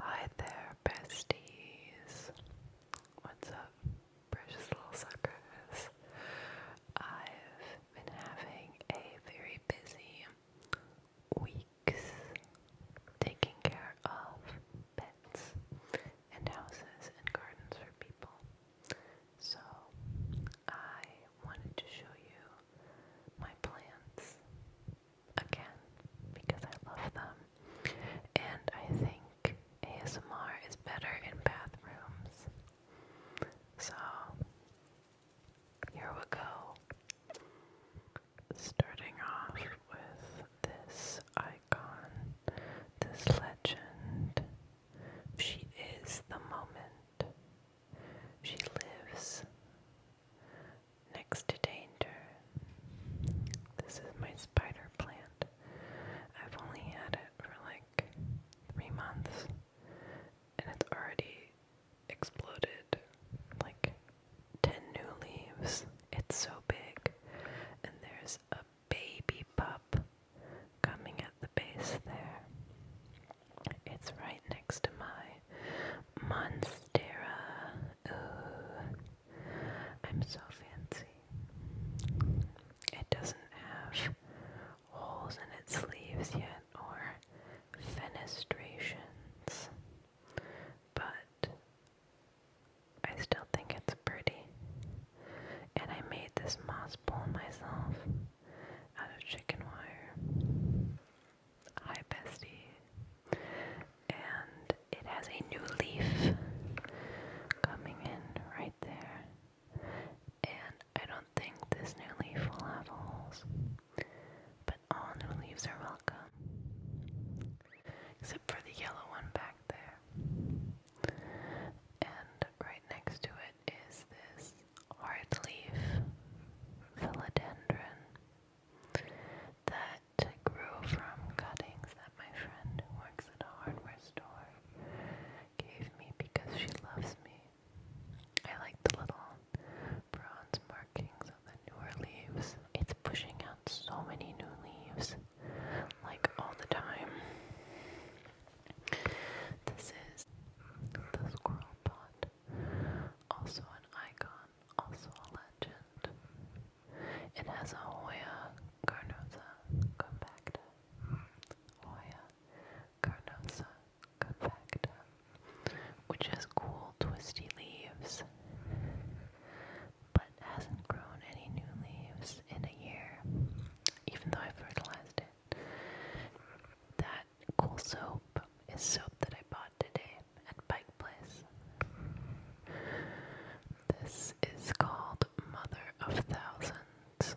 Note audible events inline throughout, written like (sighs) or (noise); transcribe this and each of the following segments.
Hi there, besties. What's up, precious little suckers? I've been having a very busy weeks taking care of pets and houses and gardens for people. So, I wanted to show you my plants again because I love them. And I think ASMR is better in bathrooms. So here we go. Starting off with this icon, this legend. She is the moment. She lives next to danger. This is my spider plant. I've only had it for like three months and it's already exploded like 10 new leaves. It's so big. And there's a baby pup coming at the base there. It's right next to my Monstera. Ooh, I'm so fancy. It doesn't have holes in its sleeves yet or fenestrations, but I still think it's pretty. And I made this moss bowl myself out of chicken wire. Hi, bestie. And it has a new leaf coming in right there. And I don't think this new leaf will have holes. But all new leaves are welcome. Except for the yellow one back there. And right next to it is this hardleaf philodendron that grew from cuttings that my friend who works at a hardware store gave me because she loves me. I like the little bronze markings on the newer leaves. It's pushing out so many new leaves, like all the time. This is the squirrel pot, also an icon, also a legend. It has a Hoya carnosa compacta. Hoya carnosa compacta, which has cool, twisty leaves, but hasn't grown any new leaves in a year, even though I fertilized it. That cool soap is soap that I bought today at Pike Place. This is called Mother of Thousands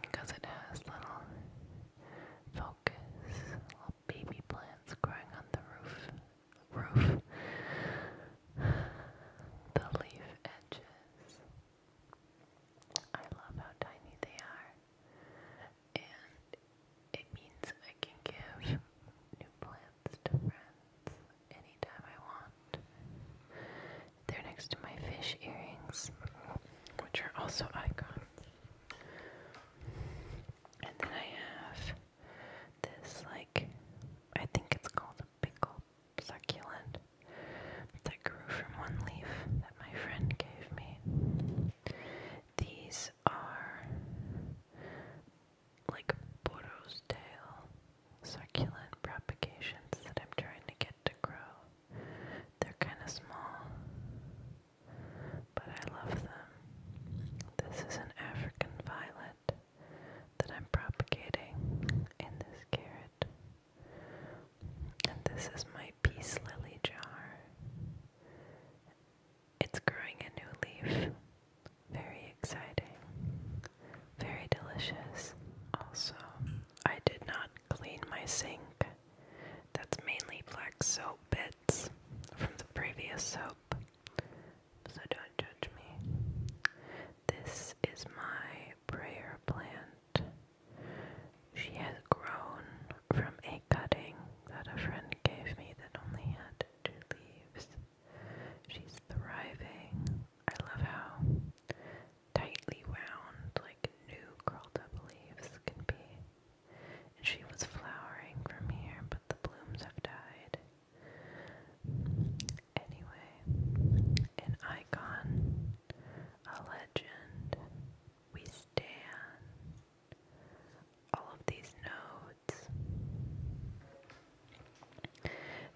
because it has little focus, little baby plants growing on the roof. Roof, (sighs) the leaf edges, I love how tiny they are, and it means I can give new plants to friends anytime I want. They're next to my fish earrings, which are also icons. And then I have this, like, I think it's called a pickle succulent that grew from one leaf that my friend gave me. These are like Bodo's tail succulent propagations that I'm trying to get to grow. They're kind of small, but I love them. This is an African violet that I'm propagating in this carrot this is my peace lily jar. It's growing a new leaf. Very exciting. Very delicious. Also, I did not clean my sink. That's mainly black soap bits from the previous soap. So don't judge me. This is my prayer plant. She has grown from a cutting that a friend gave me that only had two leaves. She's thriving. I love how tightly wound, like new curled up leaves can be. And she was flowering from here, but the blooms have died. Anyway, an icon, a legend, we stand. All of these nodes.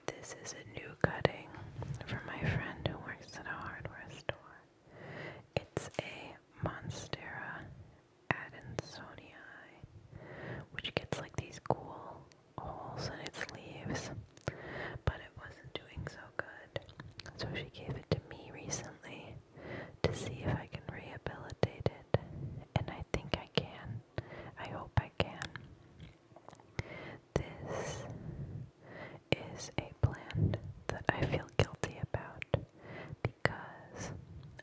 This is a new cutting for my friend who works at a hardware store. It's a Monstera Adansonii, which gets like these cool holes in its leaves, but it wasn't doing so good. So she gave it to me recently to see if I can rehabilitate it, and I think I can. I hope I can. This is a plant that I feel guilty about because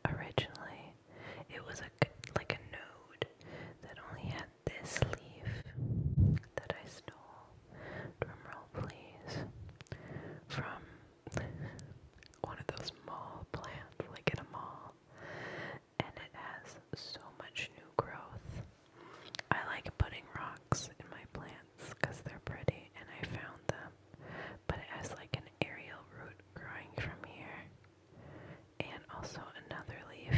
originally it was a, like a node that only had this leaf that I stole, drumroll please, from one of those mall plants, like in a mall, and it has so much new growth. I like putting rocks in my plants because they're pretty and I found them, but it has like an aerial root growing from here, and also another leaf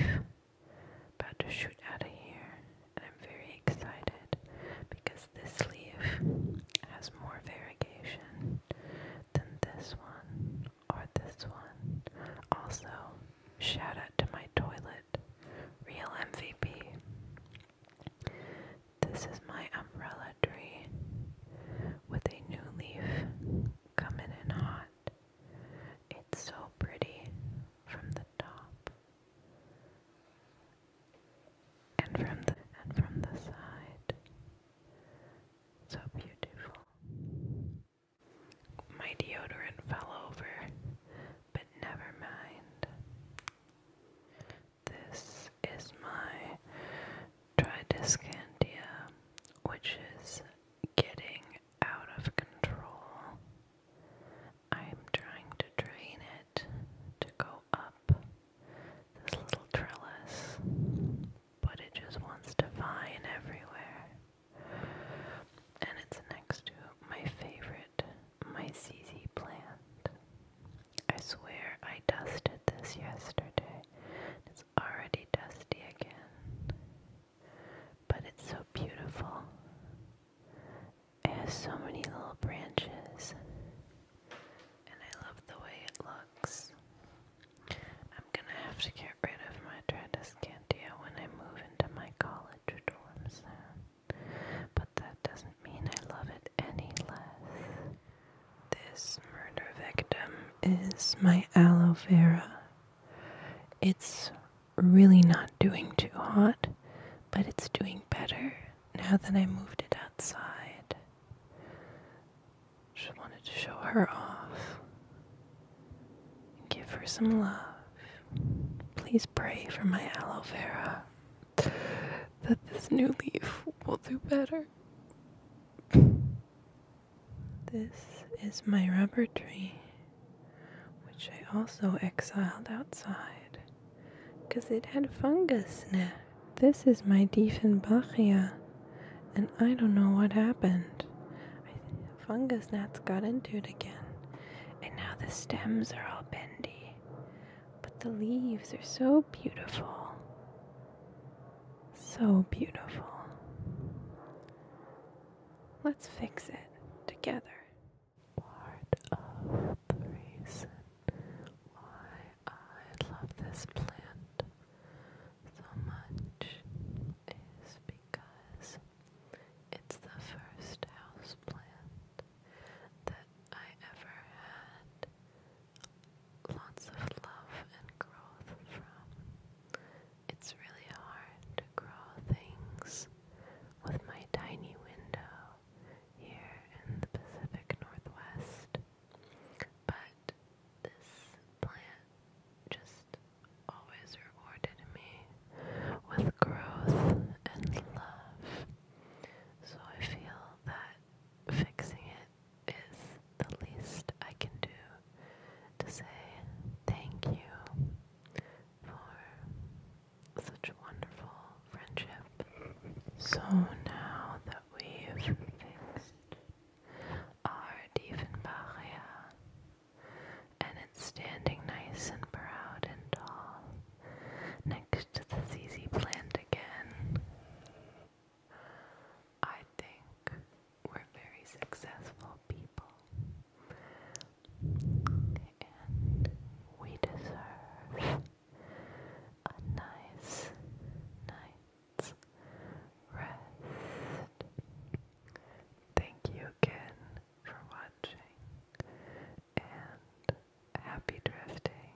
about to shoot out of here, and I'm very excited because this leaf has more variegation than this one or this one. Also, shout out to my toilet, real MVP. This is my umbrella tree with a new leaf coming in hot. It's so pretty from the top and from the and from the side. So beautiful. My deodorant fell over, but never mind. This is my Tridiscantia, which is getting out of control. I'm trying to drain it to go up this little trellis, but it just wants to vine everywhere. And it's next to my favorite, my CZ plant. I swear I dusted this yesterday. It's already dusty again. But it's so beautiful. It has so many little branches. And I love the way it looks. I'm gonna have to get rid of my Tradescantia when I move into my college dorms, But that doesn't mean I love it any less. This murder victim is my aloe vera it's really not doing too hot, but it's doing better now that I moved it outside. Just wanted to show her off. Give her some love. Please pray for my aloe vera that this new leaf will do better. This is my rubber tree, which I also exiled outside because it had fungus in This is my Diefenbachia, and I don't know what happened. I fungus gnats got into it again, and now the stems are all bendy. But the leaves are so beautiful. So beautiful. Let's fix it together. Part of the reason why I love this plant so much is because it's the first house plant that I ever had lots of love and growth from. It's really hard to grow things with my tiny window here in the Pacific Northwest. But this plant just always rewarded me with growth and love. So I feel that fixing it is the least I can do to say thank you for such wonderful friendship. So now that we've fixed our Diefenbachia and it's standing nice and proud and tall next to the ZZ plant again. I think we're very successful people, and we deserve a nice night's rest. Thank you again for watching, and happy drifting.